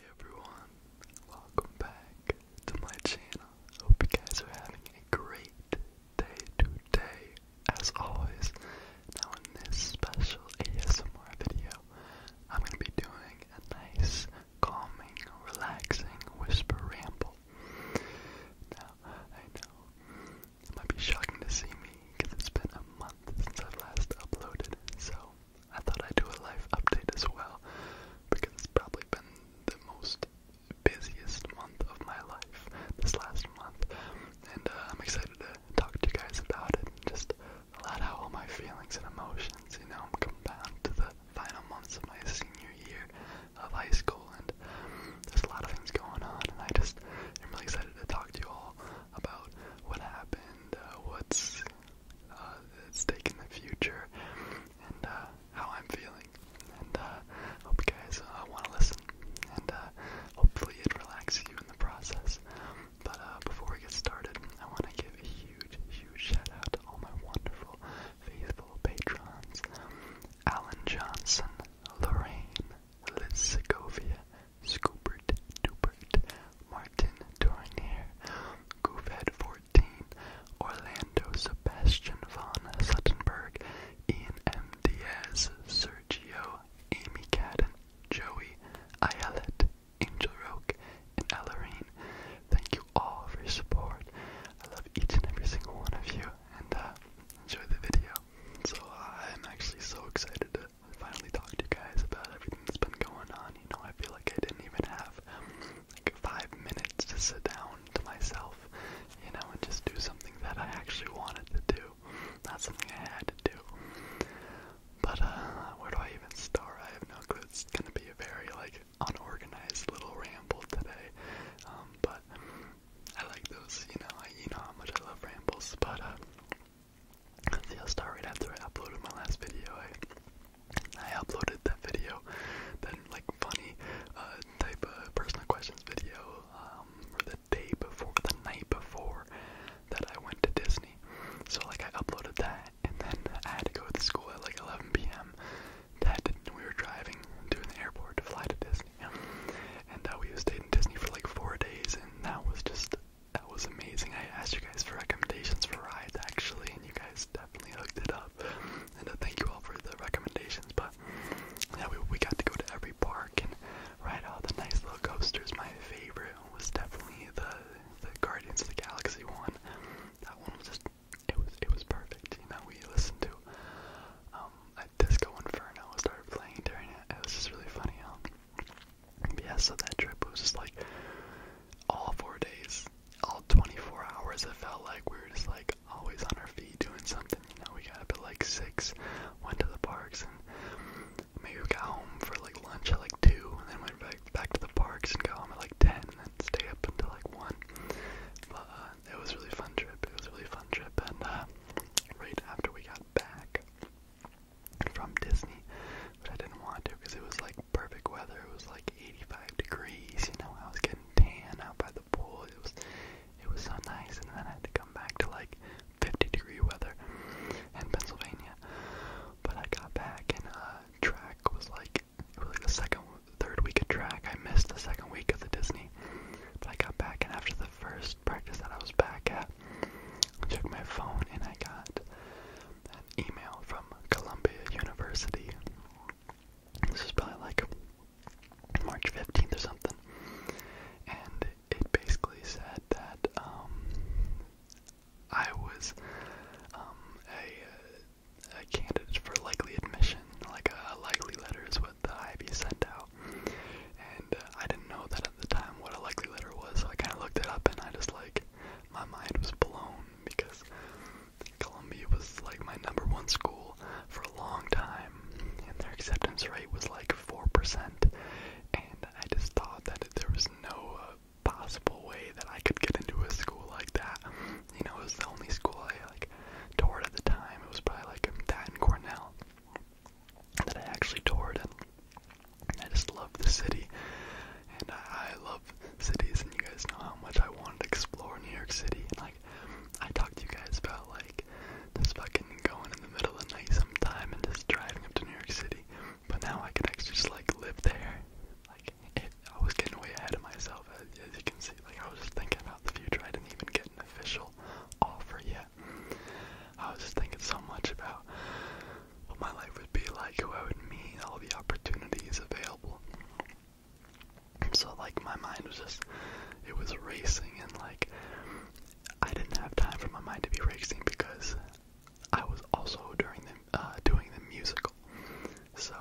Hey everyone, welcome back to my channel. Hope you guys are having a great day today, as always. Now in this special ASMR video, I'm gonna be doing a nice, calming, relaxing whisper ramble. Now, I know it might be shocking to see me it's been a month since i last uploaded, so I thought I'd do a life update as well because it's probably been the most busiest month of my life this last month, and uh, I'm excited to talk to you guys about it. just a lot of all my feelings and emotions, you know, I'm come down to the final months of my senior year of high school, and there's a lot of things going on, and I just am really excited to talk to you all about what happened, uh, what's uh, it's taking the future, and uh, how I'm feeling. And uh, hope you guys uh, want to listen, and uh, hopefully it relaxes you in the process. But uh, before we get started, I want to give a huge, huge shout out to all my wonderful, faithful patrons: Alan Johnson, Lorraine, Liz Segovia, Scoopert, Dupert, Martin Tournier, Gouvet 14, Orlando Sebastian Von Suttenberg, Ian M. Diaz, Sergio, Amy Caden, Joey, Ayelet, Angel Roque, and Ellerine. Thank you all for your support. I love each and every single one of you, and uh, enjoy the video. So I'm actually so excited I finally talked to you guys about everything that's been going on. You know, I feel like I didn't even have like five minutes to sit down to myself, you know, and just do something that I actually wanted to do, not something I had to do. But uh, where do I even start? I have no clue. It's gonna be a very like unorganized little ramble today, um, but I like those. You know, I, you know how much I love rambles, but uh, I'll start after I uploaded my last video. I, I uploaded that video, then like funny uh, type of personal questions video, um, or the day before, the night before that I went to Disney. So like I uploaded that, and then I had to go to school at like 11 p.m. That we were driving to the airport to fly to Disney, and uh, we stayed in Disney for like four days, and that was just that was amazing. I asked you guys for recommendations for rides actually, and you guys definitely hooked it up. And uh, thank you all for the recommendations. But yeah, we we got to go to every park and ride all the nice little coasters. My favorite was definitely the the Guardians of the Galaxy one. That one was just it was it was perfect. You know, we listened to um, a Disco Inferno started playing during it. It was just really funny. Um, yeah, so that trip was just like all four days, all 24 hours. It felt like we were just like always on our feet doing something. You know, we got up at like six, went to the parks, and maybe we got home for like lunch at like two, and then went back back to the parks and got home at like ten, and then stay up until like one. But uh, it was a really fun trip. It was a really fun trip, and uh, right after we got back, from Disney, but I didn't want to because it was like perfect weather. It was like 85 degrees. You know, I was getting tan out by the pool. It was, it was so nice. And then I had to come back to like 50 degree weather in Pennsylvania. But I got back and uh, track was like it was like the second, third week of track. I missed the second week of the Disney, but I got back and after the first practice that I was back at, I took my phone and I got an email from Columbia University. This was probably like March 15th or something. And it basically said that um, I was um, a, a candidate for likely admission, like a likely letter is what the IB sent out. And uh, I didn't know that at the time what a likely letter was, so I kind of looked it up and I just like my mind was blown because Columbia was like my number one school for a long time, and their acceptance rate was like 4%. And I just thought that there was no uh, possible way that I could get into a school like that. You know, it was the only school I like toured at the time. It was probably like that and Cornell that I actually toured, and I just love the city, and I, I love cities, and you guys know how much I wanted to explore New York City. And like, I talked to you guys about like just fucking going in the middle of the night sometime and just driving up to New York City. But now I can actually just like live there. Like, it, I was getting way ahead of myself, as, as you can see. Like, I was just thinking about the future. I didn't even get an official offer yet. I was just thinking so much about what my life would be like, who I would meet, all the opportunities available. So like my mind was just it was racing and like I didn't have time for my mind to be racing because I was also during the uh, doing the musical. So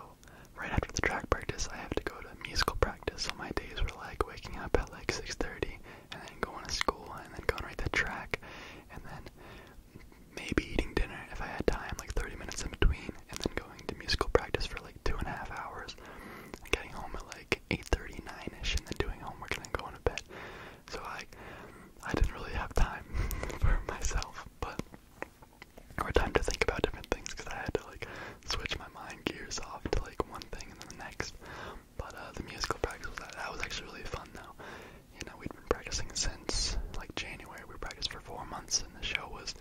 right after the track practice, I have to go to musical practice. So my days were like waking up at like 6:30 and then going to school and then going right to track and then maybe eating dinner if I had time, like 30 minutes in between, and then going to musical practice for like two and a half hours, and getting home at like 8:30, 9ish, and then doing homework and then going to bed. So I, I didn't really have time for myself, but or time to think about different things because I had to like switch my mind gears off to like one thing and then the next. But uh, the musical practice was that. That was actually really fun, though. You know, we'd been practicing since like January. We practiced for four months, and the show was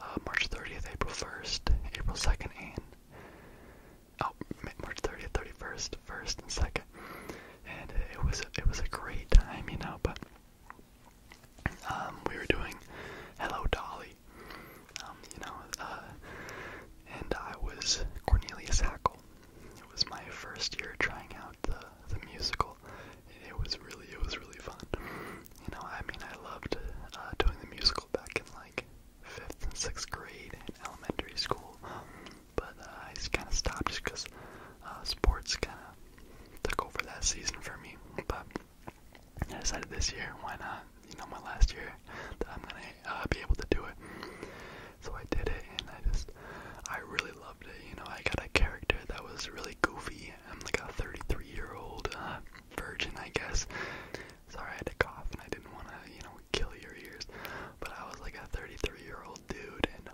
uh, March 30th, April 1st, April 2nd, and oh, March 30th, 31st, 1st, and 2nd. And it was it was a great time, you know. But um, we were doing Hello Dolly, um, you know, uh, and I was Cornelius Hackle. It was my first year trying out the the musical. It was really it was really fun. You know, I mean, I loved uh, doing the musical back in like fifth and sixth grade in elementary school, but uh, I kind of stopped just because uh, sports kind of took over that season for me. But I decided this year, why not? You know, my last year that I'm gonna uh, be able to do it. So I did it, and I just, I really loved it. You know, I got a character that was really goofy. I'm like a 33 year old uh, virgin, I guess. Sorry, I had to cough, and I didn't want to, you know, kill your ears. But I was like a 33 year old dude, and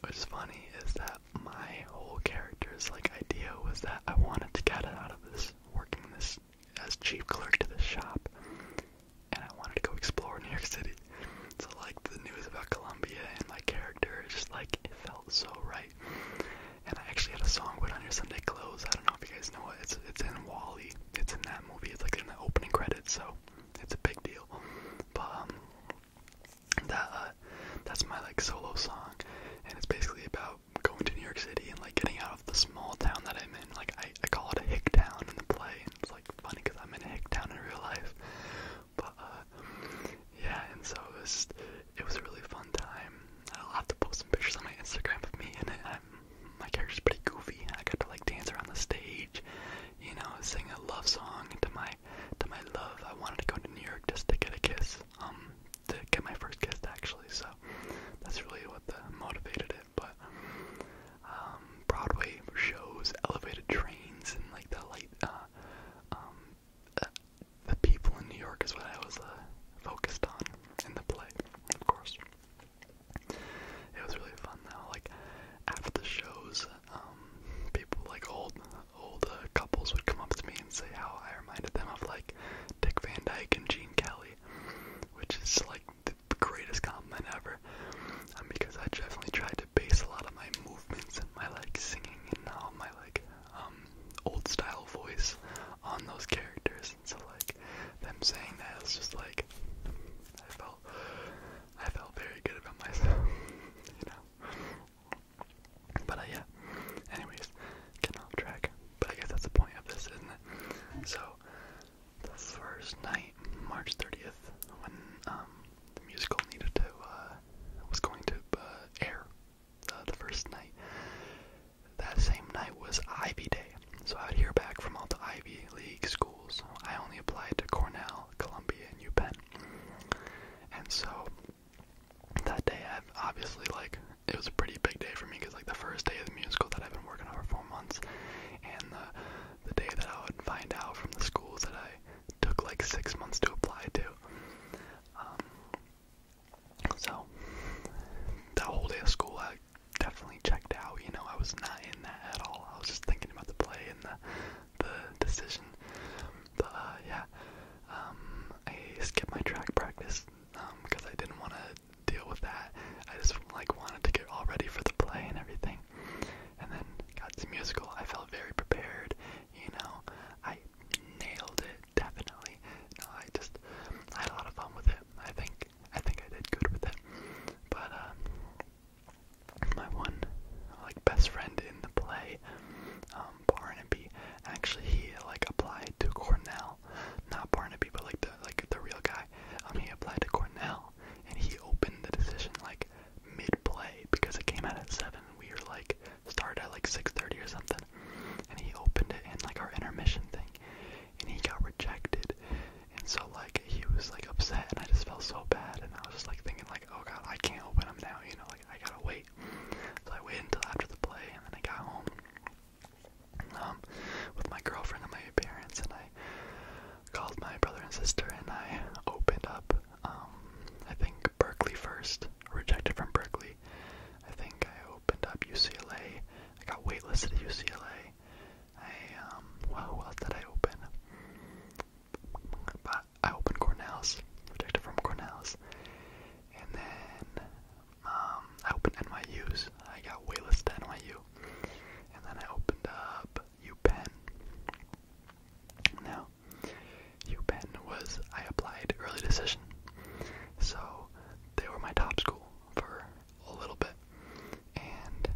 what's funny is that my whole character's like idea was that I wanted to get out of this working this as chief clerk to the shop and I wanted to go explore New York City. So like the news about Columbia and my character, just like it felt so right. And I actually had a song put on your Sunday clothes. I don't know if you guys know it. It's it's in Wally. It's in that movie. It's like in the opening credits. So it's a big deal. But um, that uh, that's my like solo song, and it's basically about going to New York City and like getting out of the small town that I'm in. Like I, I call it a hick town in the play, and it's like funny because I'm in a hick town in real life. But uh, yeah, and so it was just, it was a really fun time. I'll have to post some pictures on my Instagram of me in it. I'm, my character's pretty goofy. I got to like dance around the stage, you know, sing a love song to my to my love. I wanted to go to New York just to get a kiss, um, to get my first kiss actually. So that's really what the motivated it but um, Broadway shows, elevated trains, and like the light. Uh, um, uh, the people in New York is what I was uh, focused on in the play, of course. It was really fun though. Like after the shows, um, people like old old uh, couples would come up to me and say how I reminded them of like Dick Van Dyke and Gene Kelly, which is like the, the greatest compliment ever. Um, because I definitely tried to base a lot of my movements and my like singing and all my like um old style voice on those characters. And so like them saying that it's just like I felt I felt very good about myself, you know. But uh, yeah. Anyways, getting off track. But I guess that's the point of this, isn't it? So the first night, March 30th, when um, the musical needed to, uh, was going to uh, air uh, the first night. That same night was Ivy Day, so I would hear back from all the Ivy League schools. I only applied to Cornell, Columbia, and UPenn. And so that day, obviously like it was a pretty big day for me because like the first day of the musical that I've been working on for four months, and the the day that I would find out from the schools that I took like six months to apply to. Um, so that whole day of school, I definitely checked out. You know, I was not in that at all. I was just thinking about the play and the the decision. But uh, yeah, um, I skipped my track practice because um, I didn't want to deal with that. I just like wanted to get all ready for the play and everything. And then got to musical. I felt very prepared. You know, I nailed it definitely. No, I just I had a lot of fun with it. I think I think I did good with it. But um, my one like best friend in the play, um, Barnaby. Actually, he like applied to Cornell, not Barnaby, but like the like the real guy. Um, he applied to Cornell, now. And he opened the decision like mid play because it came out at seven. We were like started at like six thirty or something. And he opened it in like our intermission thing. And he got rejected. And so like he was like upset and I just felt so bad and I was just like thinking like, oh god, I can't open them now, you know, like I gotta wait. So I waited until after the play and then I got home. Um, with my girlfriend and my parents, and I called my brother and sister, and I opened up. Um, I think Berkeley first, rejected from Berkeley. I think I opened up UCLA. I got waitlisted at UCLA. I um, well, else did I open? But I opened Cornell's, rejected from Cornell's, and then um, I opened NYU's. I got waitlisted to NYU. And then I opened up UPenn. Now, UPenn was, I applied early decision. So they were my top school for a little bit. And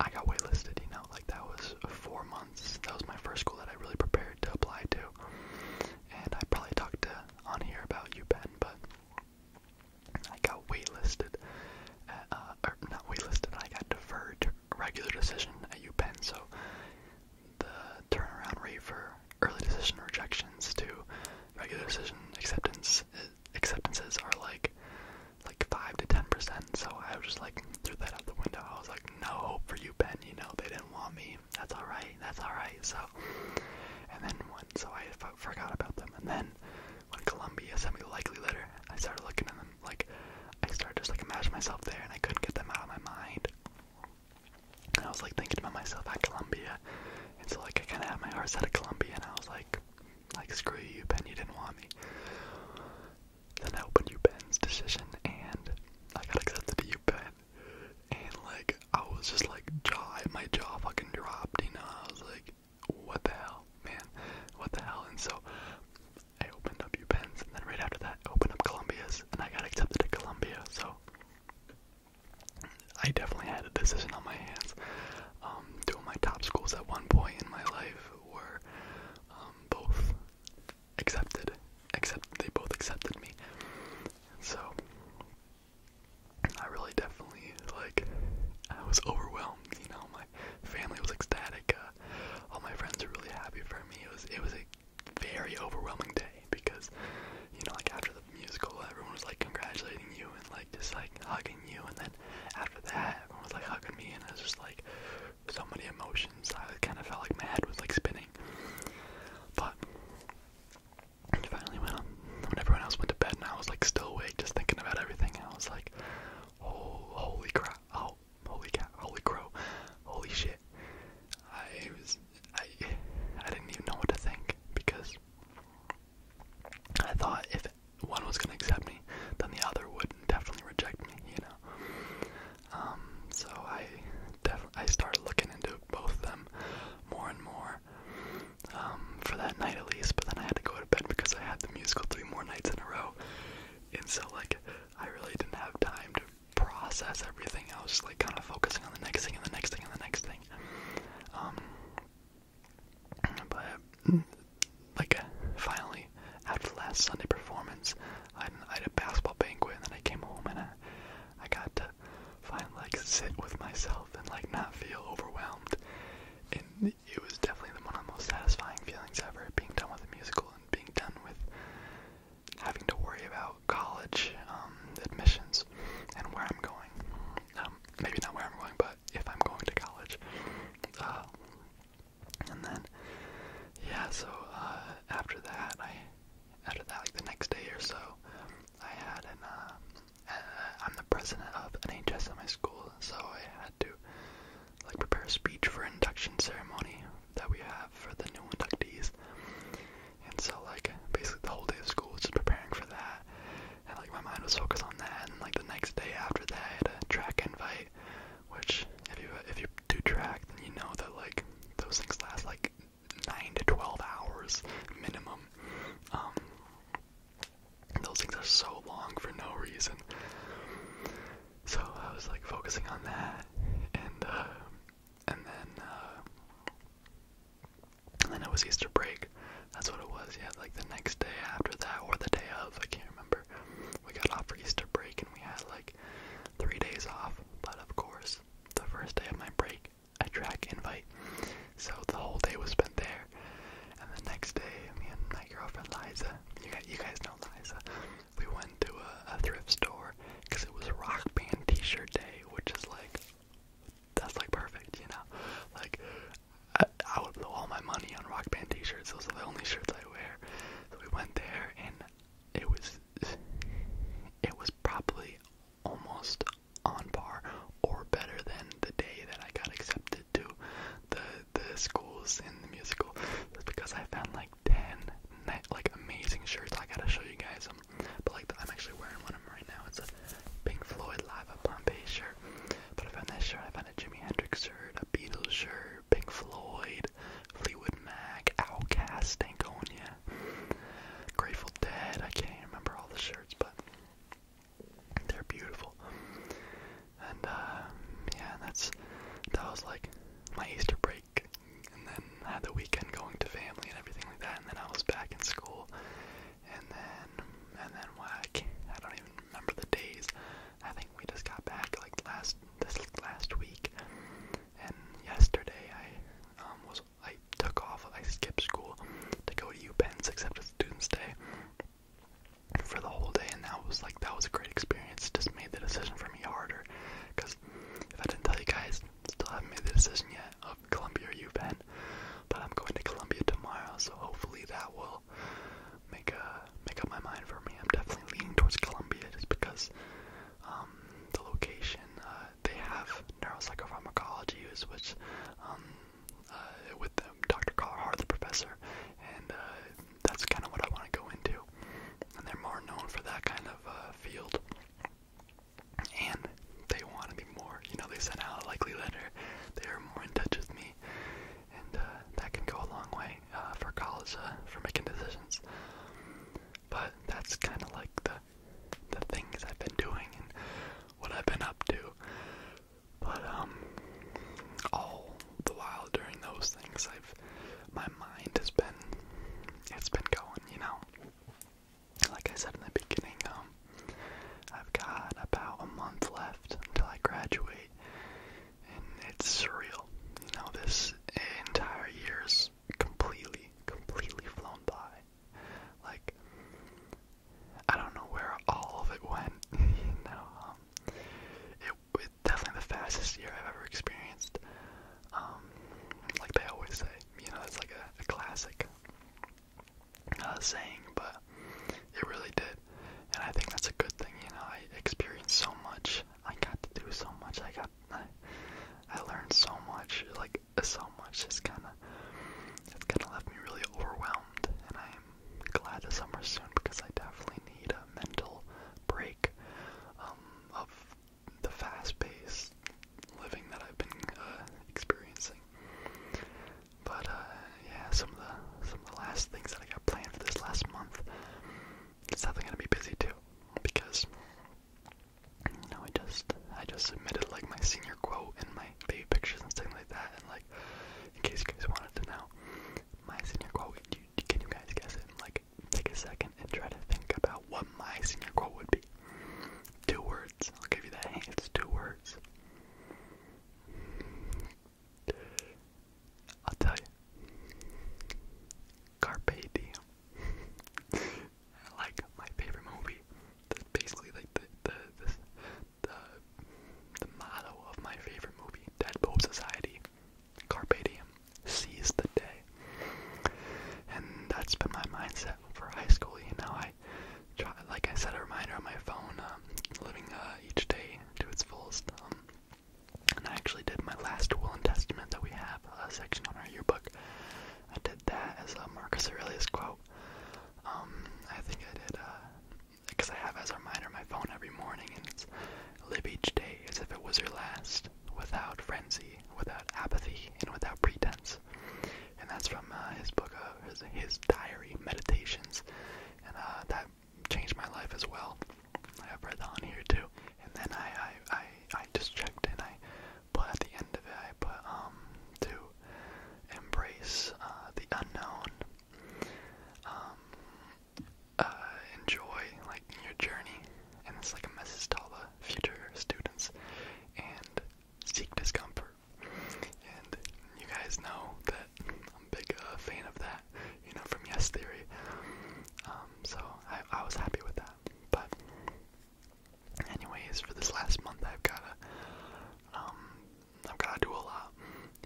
I got waitlisted, you know, like that was four months. That was my first school that I really prepared to apply to. And I probably talked to on here about UPenn, but I got waitlisted, at, or uh, er, not waitlisted, I got deferred to regular decision at UPenn, so the turnaround rate for early decision rejections to regular decision acceptance acceptances are like like five to ten percent. So I was just like threw that out the window. I was like, no hope for you, Ben. You know they didn't want me. That's all right. That's all right. So and then when, so I forgot about them. And then when Columbia sent me the likely letter, I started looking at them like I started just like imagining myself there, and I couldn't get them out of my mind. And I was like thinking about myself at Columbia, and so like I kind of had my heart set at Columbia, and I was like, like screw you, Ben, you didn't want me. Then I opened you Ben's decision, and I got accepted to you Ben, and like I was just like jaw, my jaw fucking dropped, you know. I was like, what the hell, man, what the hell? And so I opened up UPenn's, and then right after that, I opened up Columbia's, and I got accepted at Columbia. So I definitely had a decision on my hands. Um, two of my top schools at one point in my life were um, both accepted, except they both accepted me. So I really definitely like I was overwhelmed, you know, my family was ecstatic, uh, all my friends were really happy for me. It was it was a very overwhelming day because you know, like after the musical everyone was like congratulating you and like just like hugging you and then after that everyone was like hugging me and it was just like so many emotions. I kinda felt like my head was like spinning. But it finally went on when everyone else went to bed and I was like still awake just thinking about everything I was like, oh, holy crap, oh, holy cat, holy crow, holy shit. I was, I, I didn't even know what to think because I thought if one was gonna accept me, then the other would definitely reject me, you know. Um, so I, def I started looking into both of them more and more, um, for that night at least. But then I had to go to bed because I had the musical three more nights in a row, and so like I really didn't have time to process everything. I was just like kind of focusing on the next thing and the next thing and the next thing. Um, but like finally, after the last Sunday performance, I had, I had a basketball banquet, and then I came home and I, I got to finally like sit with myself and like not feel overwhelmed. And it was definitely one of the most satisfying feelings ever, being done with a musical and being done with having to worry about college um, admissions and where I'm going. Um, maybe not where I'm going, but if I'm going to college. Uh, and then, yeah, so uh, after that, I, after that, like the next day or so, I had an, uh, uh, I'm the president of NHS at my school, so I had to like prepare a speech for induction ceremony that we have for the new inductees. And so like basically the whole day of school was just preparing for that. And like my mind was focused on that and like the next day after that I had a track invite, which if you if you do track then you know that like those things last like nine to twelve hours minimum. Um those things are so long for no reason. So I was like focusing on that, and uh, and then uh, then it was Easter break. That's what it was. Yeah, like the next day after that, or the day of. I can't remember. We got off for Easter break, and we had like three days off. But of course, the first day of my break, I track invite. So the whole day was spent there, there. And the next day, me and my girlfriend Liza, you guys, you guys know Liza, we went to a, a thrift store because it was Rock Band T-shirt day, which is like, that's like perfect, you know? Like, I, I would blow all my money on Rock Band T-shirts. Those are the only shirts I wear. So we went there, and it was, it was probably almost on par or better than the day that I got accepted to the the schools in the musical. That's because I found like ten like amazing shirts. I gotta show you guys them. But like I'm actually wearing one of them right now. It's a Pink Floyd Live at Pompeii shirt. But I found that shirt. I found a Jimi Hendrix shirt, a Beatles shirt, Pink Floyd, Fleetwood Mac, Outcast, Stankonia, Grateful Dead. I can't even remember all the shirts, but they're beautiful. And uh, yeah, that's that was like my Easter break, and then I had the weekend going to family and everything like that, and then I was back in school, and then and then when I, came, I don't even remember the days. I think we just got back like last this last week, and yesterday I um, was I took off. I skipped school to go to U UPenn's, except it's Students' Day, for the whole day. And that was like that was a great experience. Just made the decision for me harder, because if I didn't tell you guys, still haven't made the decision yet of Columbia or U UPenn. But I'm going to Columbia tomorrow, so hopefully that will make a uh, make up my mind for me. I'm definitely leaning towards Columbia just because um, the location. Uh, they have neuropsychopharmacology, which um, uh, with um, Dr. Carhart, the professor, and uh, that's kind of what I want to go into. And they're more known for that kind of uh, field. And they want to be more, you know, they sent out a likely letter. They are more in touch with me. And uh, that can go a long way uh, for college, uh, for making decisions. But that's kind of like the the things I've been doing. And what I've been up to. But um all the while during those things I've my mind has been it's been going, you know. Like I said in the beginning, um I've got about a month left until I graduate and it's surreal. You know, this entire year's completely, completely flown by like I don't know where all of it went. you know, um, it, it definitely the fastest year I've ever experienced. Um, like they always say, you know, it's like a, a classic uh, saying, but it really did, and I think that's a good thing. You know, I experienced so much. I got to do so much. I got, I, I learned so much. Like so much is kind of it's kind of left me really overwhelmed and i'm glad the summer's soon because i definitely need a mental break um, of the fast pace living that i've been uh, experiencing but uh, yeah some of the some of the last things that i got planned for this last month it's definitely gonna be busy too because you i just i just submitted like my senior your quote and my baby pictures and stuff like that. And like, in case you guys wanted to know, my senior quote. You, can you guys guess it? And like, take a second and try to think about what my senior quote would be. Two words. I'll give you that hint. It's two words. I'll tell you. Carpe diem. like my favorite movie, that's basically like the the the motto of my favorite movie, Deadpool Society. Carpe diem, seize the day. And that's been my mindset for high school. You know, I try, like I said, a reminder on my phone, um, living uh, each day to its fullest. Um, and I actually did my last will and testament that we have a uh, section on our yearbook. I did that as a uh, Marcus Aurelius quote so um, I think I did because uh, I have as a reminder my phone every morning, and it's live each day as if it was your last, without frenzy, without apathy, and without pretense. And that's from uh, his book, uh, his, his diary, Meditations, and uh, that changed my life as well. I have read that on here too. And then I, I, I, I just checked and I but at the end of it, I put um, to embrace uh, the unknown, um, uh, enjoy like your journey, and it's like a message to all the future students, and seek discomfort. And you guys know that I'm a big uh, fan of that, you know, from Yes Theory. Um, so I, I was happy with that, but Anyways, for this last month, I've gotta, um, I've gotta do a lot.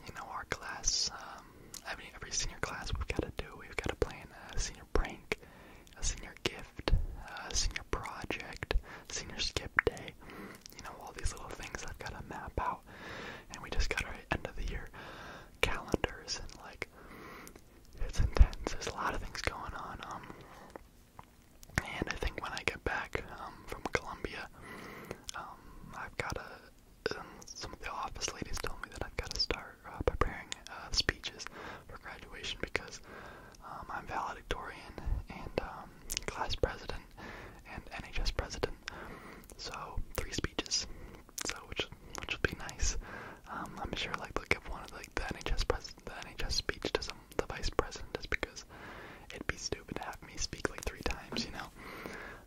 You know, our class, um, I mean, every senior class we've gotta do. We've gotta plan a senior prank, a senior gift, a senior project, senior skip day. You know, all these little things I've gotta map out, and we just got our end of the year calendars and like. It's intense. There's a lot of things going on. Um, and I think when I get back um, from Colombia, um, I've got to. Um, some of the office ladies told me that I've got to start uh, preparing uh, speeches for graduation because um, I'm valedictorian and um, class president and NHS president. So three speeches. So which which will be nice. Um, I'm sure like they'll give one of like the NHS pres the NHS speech to some the vice president just because it'd be stupid to have me speak like three times, you know.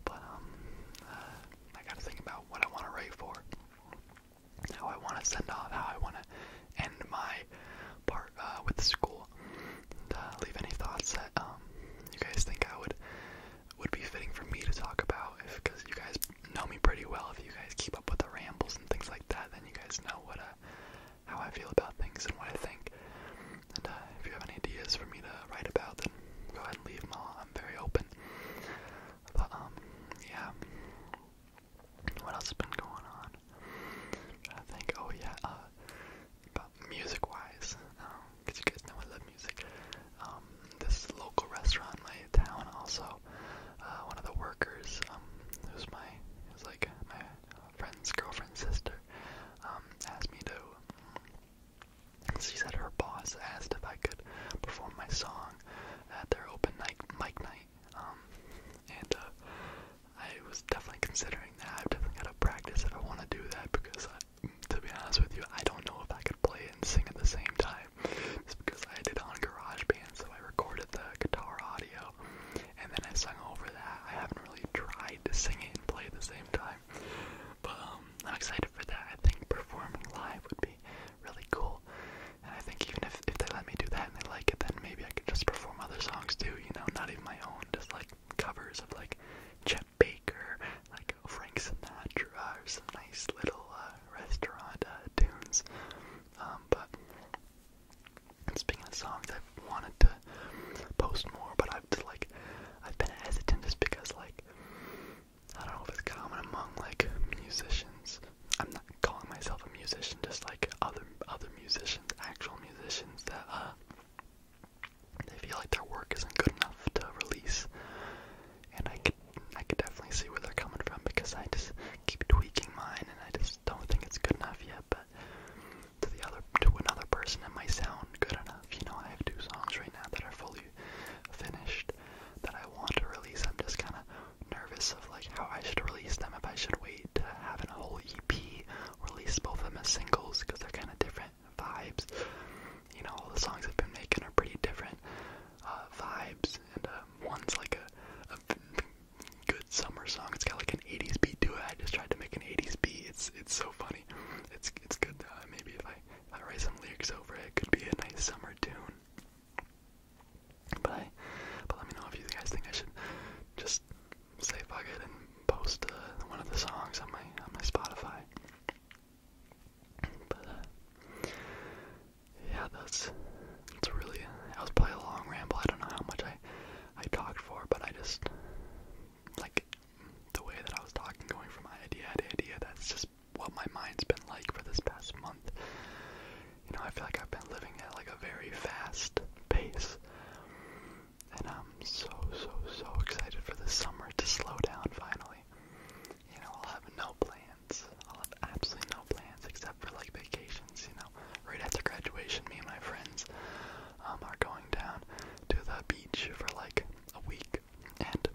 But um, uh, I gotta think about what I want to write for, how I want to send off, how I want to end my part uh, with the school. And, uh, leave any thoughts that um you guys think I would would be fitting for me to talk about, if because you guys know me pretty well. If you guys keep up with the rambles and things like that, then you guys know what uh how I feel about things and what I think. And uh, if you have any ideas for me to write about, then go ahead and leave them all. I'm very open. But um, yeah. What else has been going on? i to think. Oh yeah. Uh, about music-wise, because um, you guys know I love music. Um, this local restaurant in my town also. Uh, one of the workers, um, who's my, who's like my friend's girlfriend's sister um, asked me to. She said her boss asked if I could perform my song at their open night mic night, um, and uh, I was definitely considering that. I've definitely got to practice if I want to do that because, I, to be honest with you, I don't know if I could play it and sing at the same time. It's because I did it on GarageBand, so I recorded the guitar audio and then I sung over that. I haven't really tried to sing it and play at the same time. But um, I'm excited for that. I think performing live would be really cool. And I think even if, if they let me do that and they like it, then maybe I could just perform other songs too, you know, not even my own, just like covers of like Chet Baker, like Frank Sinatra, or some nice little uh, restaurant uh, tunes. Um, but and speaking of songs, I've wanted to post more, but I've just, like I've been hesitant just because like I don't know if it's common among like musicians. I'm not calling myself a musician, just like other other musicians, actual musicians that uh they feel like their work isn't good enough to release. And I could I could definitely see where they're coming from because I just keep tweaking mine and I just don't think it's good enough yet but to the other to another person it might sound good enough. You know, I have two songs right now that are fully finished that I want to release. I'm just kinda nervous of like how I should release them, if I should wait to have an whole EP, release both of them as singles, because they're kinda different vibes. You know, all the songs I've been making are pretty different uh, vibes, and um, one's like a good summer song. It's got like an 80s beat to it. I just tried to make an 80s beat. It's it's so funny. It's it's good. Uh, maybe if I if I write some lyrics over it, could be a nice summer tune. But I, but let me know if you guys think I should just say fuck it and post uh, one of the songs on my on my Spotify. But uh, yeah, that's it's really that was probably a long ramble. I don't know how much I I talked for, but I just like the way that I was talking, going from idea to idea. That's just what my mind's been like for this past month. You know, I feel like I've been living at like a very fast pace. And I'm so, so, so excited for the summer to slow down finally. You know, I'll have no plans. I'll have absolutely no plans except for like vacations, you now. Right after graduation, me and my friends um, are going down to the beach for like a week, and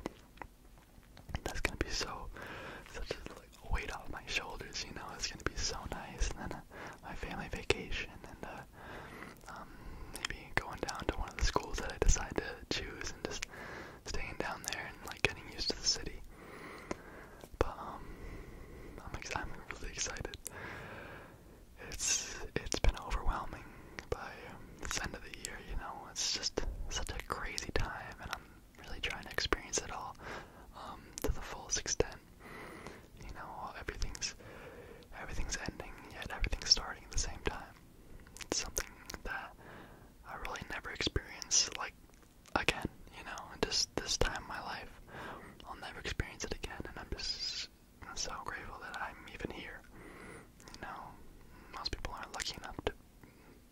that's gonna be so such a like, weight off my shoulders. You know, it's gonna be so nice. And then uh, my family vacation, and uh, um, maybe going down to one of the schools that I decide to choose, and just staying down there and like getting used to the city. But um, I'm ex I'm really excited. It's it's been overwhelming by um, this end of the year. You know, it's just such a crazy time, and I'm really trying to experience it all um, to the fullest extent. You know, everything's everything's ending, yet everything's starting at the same time. It's something that I really never experienced like again, you know, just this time in my life. I'll never experience it again, and I'm just so grateful that I'm even here. You know, most people aren't lucky enough to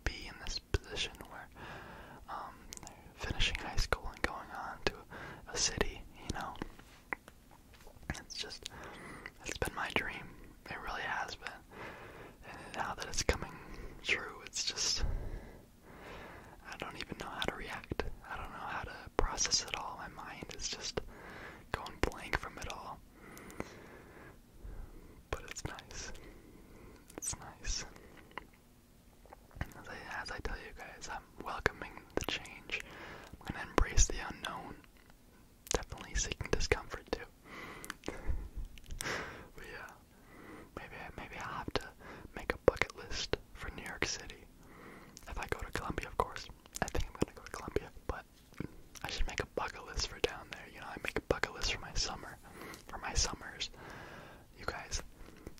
be in this position where um, they're finishing high school and going on to a city, you know. It's just, it's been my dream. It really has been. And now that it's coming true, it's just, I don't even know how to react. I don't know how to process it all. My mind is just going blank from it all. But it's nice. It's nice. As I, tell you guys, I'm welcoming the change. I'm going to embrace the unknown. Definitely seeking discomfort too. yeah, Maybe maybe I have to make a bucket list for New York City. If I go to Columbia, of course. I think I'm gonna go to Columbia, but I should make a bucket list for down there. You know, I make a bucket list for my summer, for my summers. You guys,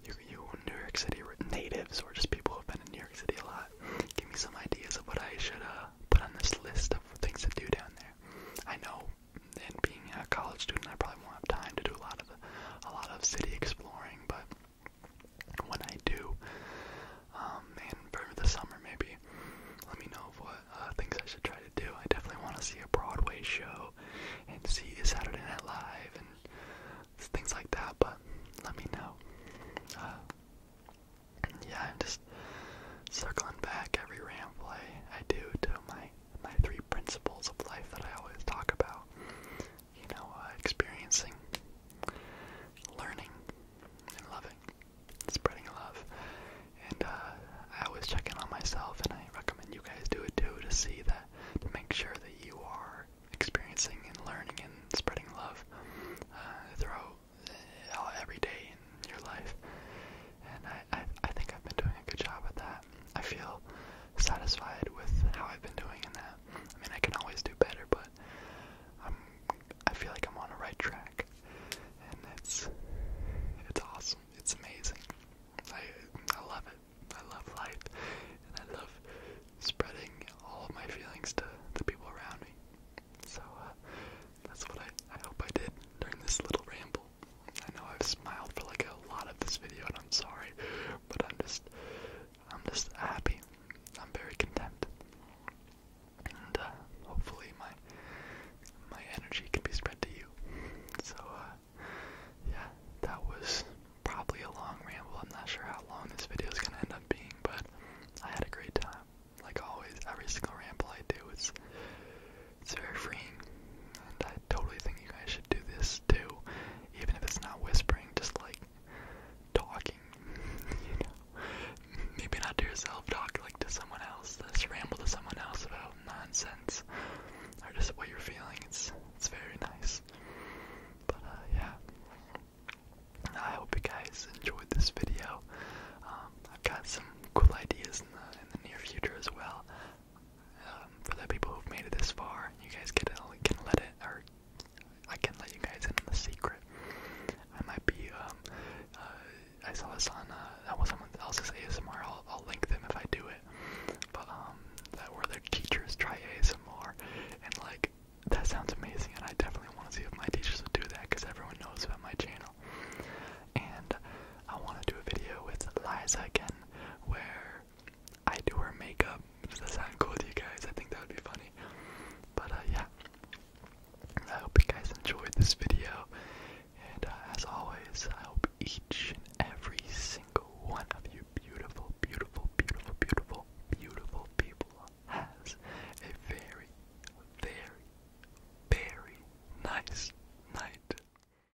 you you New York City natives or just people who've been in New York City a lot, give me some ideas of what I should uh put on this list of things to do down there. I know and being a college student, I probably won't have time to do a lot of the, a lot of city exploring. But when I do, um, and for the summer maybe, let me know what uh, things I should try to do. I definitely want to see a Broadway show and see Saturday Night Live and things like that. But let me know. Uh, yeah, I'm just circling back every ramble I, I do to my my three principles of life that I always talk about. You know, uh, experiencing, learning, and loving, spreading love. And uh, I always check in on myself, and I recommend you guys do it too to see that, to make sure that you are experiencing and learning and spreading love uh, throughout every day in your life. And I, I, think I've been doing a good job at that. I feel satisfied with how I've been doing in that. I mean, I can always do better, but I'm I feel like I'm on the right track, and it's it's awesome. It's amazing. I I love it. I love life, and I love spreading all of my feelings to the people around me. So uh, that's what I I hope I did during this little ramble. I know I've smiled for like a lot of this video, and I'm sorry, but I'm just, I'm just happy. I'm very content, and uh, hopefully my my energy can be spread to you. So, uh, yeah, that was probably a long ramble. I'm not sure how long this video is gonna end up being, but I had a great time. Like always, every single ramble I do is it's very freeing, and I totally think you guys should do this too, even if it's not whispering, just like talking, you know. Maybe not to yourself, talk like to someone else, just uh, ramble to someone else about nonsense or just what you're feeling. It's it's very nice. But uh, yeah, I hope you guys enjoyed this video. Um, I've got some cool ideas in the in the near future as well. Um, for the people who've made it this far, you guys can can let it, or I can let you guys in on the secret. I might be. Um, uh, I saw this on uh, that was someone else's ASMR. I'll, I'll link them if I do it. But um, that where their teachers try ASMR, and like that sounds amazing, and I definitely want to see if my teachers would do that because everyone knows about my channel. And I want to do a video with Liza again, where I do her makeup. Does that sound cool to you guys? I think that would be funny. But uh, yeah, I hope you guys enjoyed this video. And uh, as always, I hope each and every single one of you beautiful, beautiful, beautiful, beautiful, beautiful people has a very, very, very nice night.